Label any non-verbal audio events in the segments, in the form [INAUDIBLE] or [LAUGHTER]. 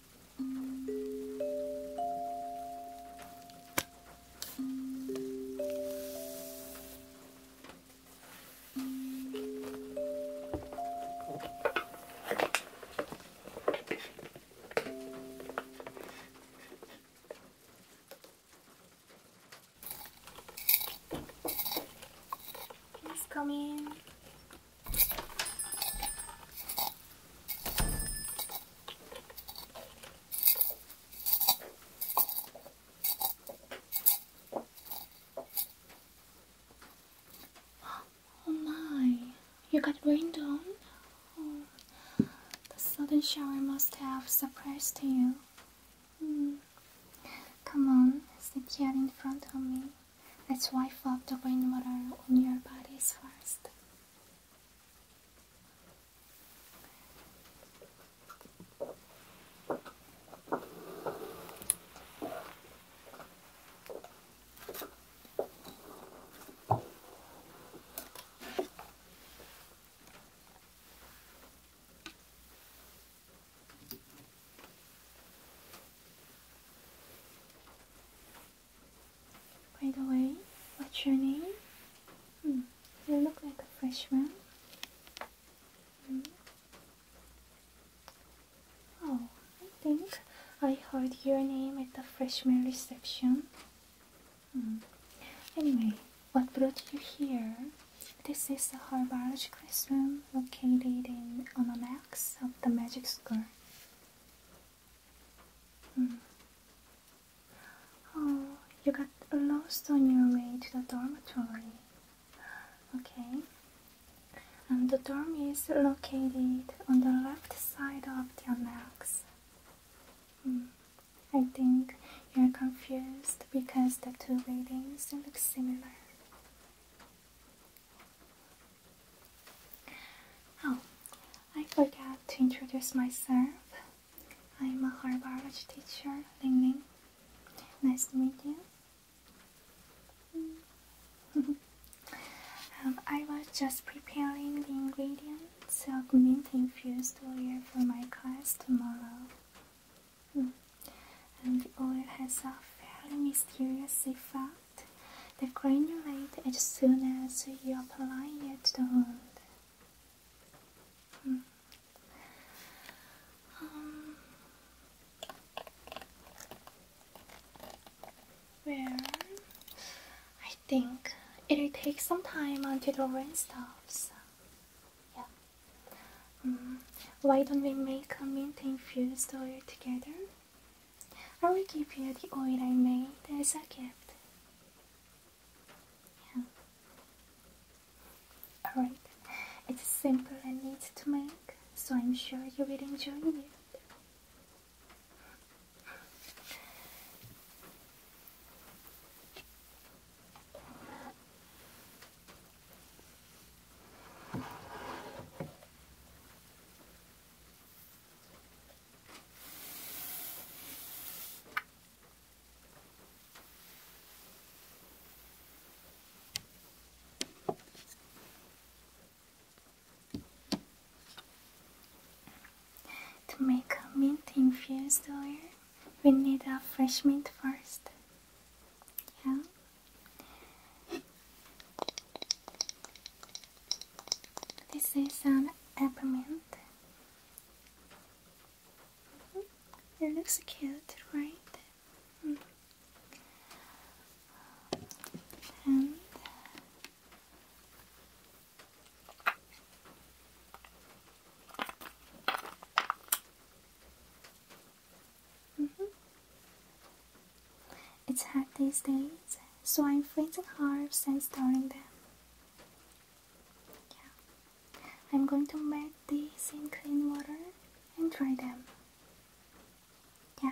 Please come in. Oh my, you got rained on? the sudden shower must have surprised you. Hmm. Come on, sit here in front of me. Let's wipe off the rainwater on your bodies first. By the way, what's your name? Hmm, you look like a freshman. Hmm. Oh, I think I heard your name at the freshman reception. Hmm. Anyway, what brought you here? This is the Harborage classroom located in on of the magic school. Hmm. Oh, you got lost on your way to the dormitory. Okay. And the dorm is located on the left side of the annex. Hmm. I think you're confused because the two buildings look similar. Oh, I forgot to introduce myself. I'm a Harvard teacher, Ling Ling. Nice to meet you. [LAUGHS] Um, I was just preparing the ingredients of mint infused oil for my class tomorrow. Hmm. And the oil has a fairly mysterious effect the granulate as soon as you apply it to the wound. Hmm. Um, well, I think it'll take some time until the rain stops. Yeah. Hmm. Why don't we make a mint infused oil together? I will give you the oil I made as a gift. Yeah. Alright, it's simple and neat to make, so I'm sure you will enjoy it. To make mint infused oil, we need a fresh mint first. Yeah. This is an peppermint. Mm-hmm. It looks cute, right? -hmm. It's hard these days, so I'm freezing herbs and storing them. Yeah. I'm going to melt these in clean water and dry them. Yeah.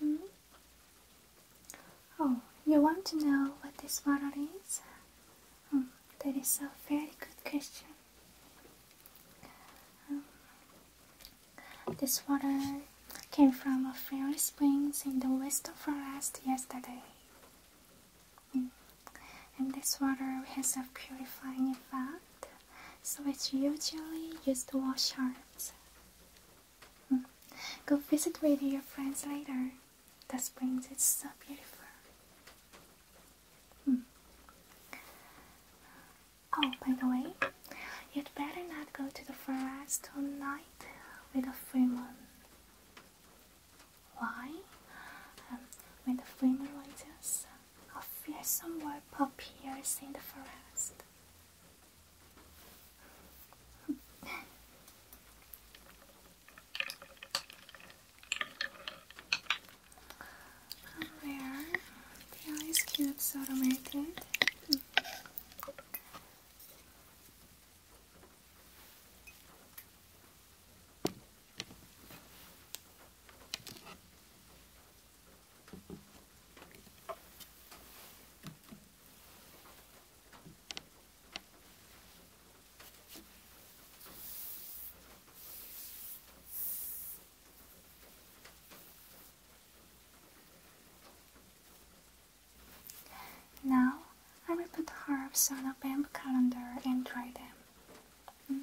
Hmm? Oh, you want to know what this model is? Hmm, that is a very good question this water came from a fairy spring in the western forest yesterday. Mm. And this water has a purifying effect, so it's usually used to wash hands. Mm. Go visit with your friends later. The spring is so beautiful. Mm. Oh, by the way, you'd better not go to the forest tonight with the Freeman. Why? Um, when the Freeman moon rises, a fearsome warp appears in the forest. There. The ice cubes automated. Now I will put herbs on a bamboo calendar and dry them.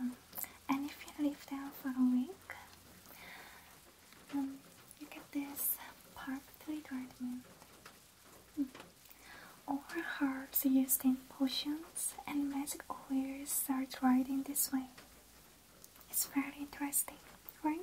Um, and if you live there for a week, um, look at this park three treatment. Mm. All herbs used in potions and magic oils are dried this way. It's very interesting, right?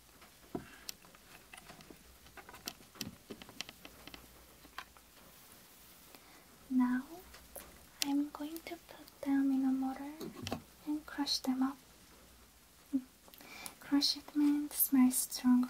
Now I'm going to put them in a mortar and crush them up. Mm. Crush it means smells stronger.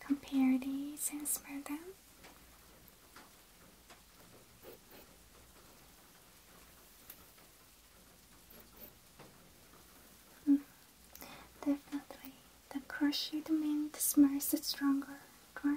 Compare these and smell them. Hmm. definitely, the crushed mint smells stronger, right?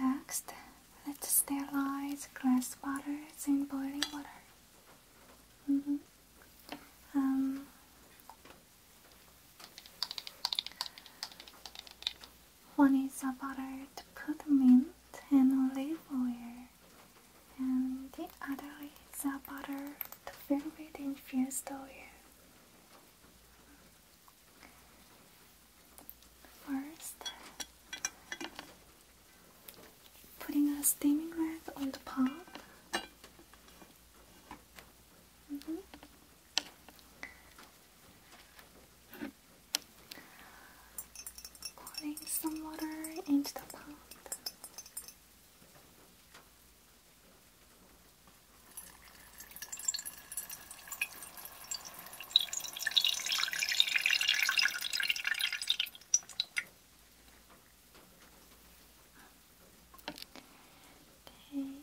Next, let's sterilize glass bottles in boiling water. Mm-hmm. um, one is a bottle to put them in an olive oil, and the other is a butter to fill with infused oil. First, putting a steaming rack on the pot. Mm-hmm pouring some water into the pot. Okay.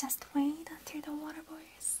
Just wait until the water boils.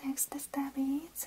The next step is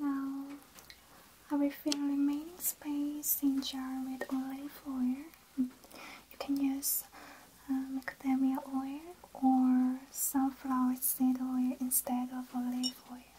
Now, I will fill remaining space in jar with olive oil. You can use uh, macadamia oil or sunflower seed oil instead of olive oil.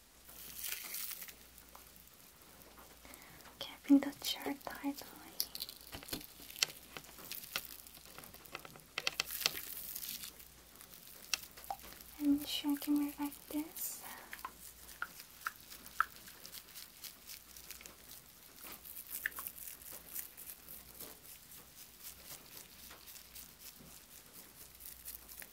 Can I bring that shirt tight on? And shaking me like this.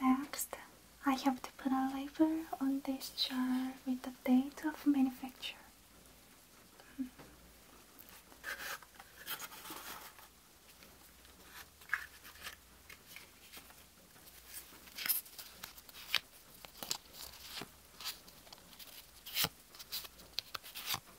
Next, I have to put a label on this jar with the date of manufacture.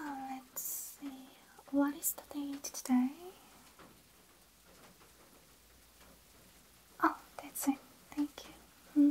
Uh, let's see. What is the date today? Oh, that's it. Thank you. Hmm.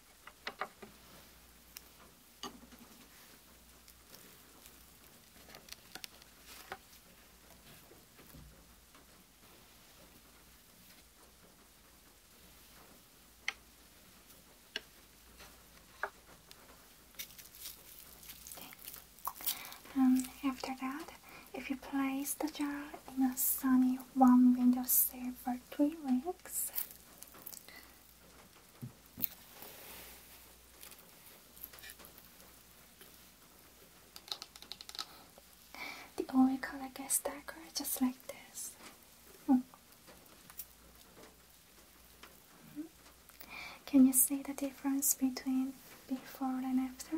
after that, if you place the jar in a sunny warm window sill for three weeks, books. The oracle I guess dagger just like this. Hmm. Hmm. Can you see the difference between before and after?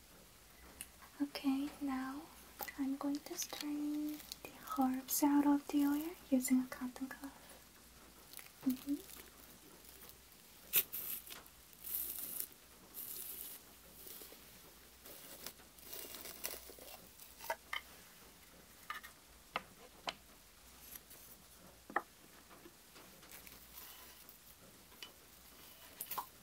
Okay, now I'm going to strain the herbs out of the oil using a cotton cloth. Mm-hmm.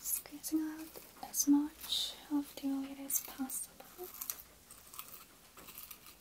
Squeezing out as much of the oil as possible.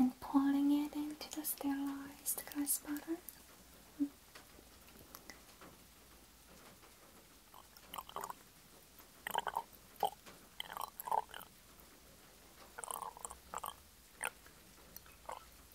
and pouring it into the sterilized glass bottle.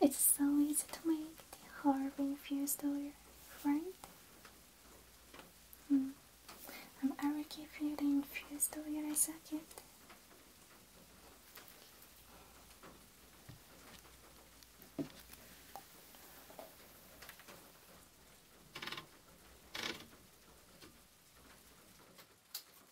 It's so easy to make the hard infused oil, right? Hmm. Um, I am already you the infused oil as a gift.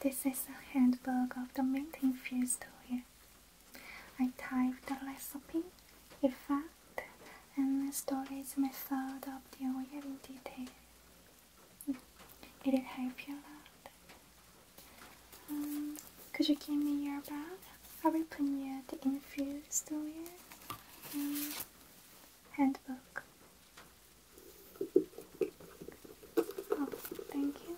This is a handbook of the mint infused oil. I type the recipe, effect, and storage method of the oil in detail. It'll help you a lot. Um, could you give me your bag? I will Aripunya, the infuse the and handbook. Oh, thank you.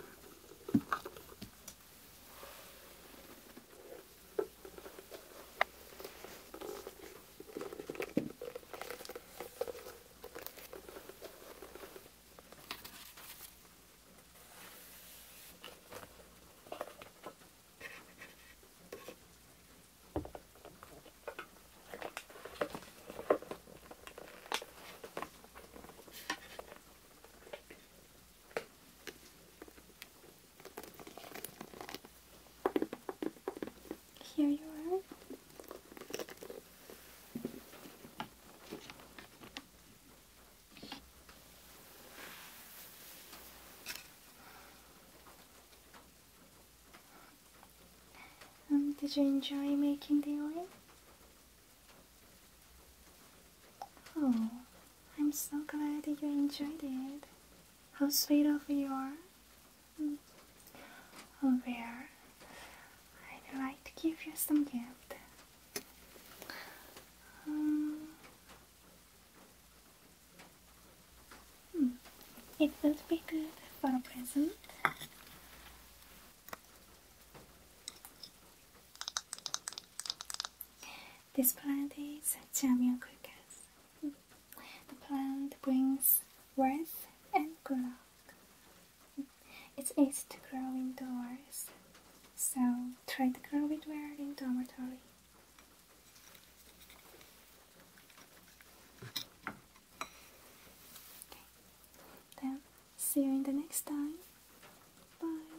Here you are. Um, did you enjoy making the oil? Oh, I'm so glad that you enjoyed it. How sweet of you are. Mm. Oh, there. I'd like to give you some gift. Um, Hmm. It will be good for a present. This plant is Jamia Quickas. The plant brings wealth and good luck. It's easy to grow indoors, so try to grow it well in dormitory. Okay. Then see you in the next time. Bye.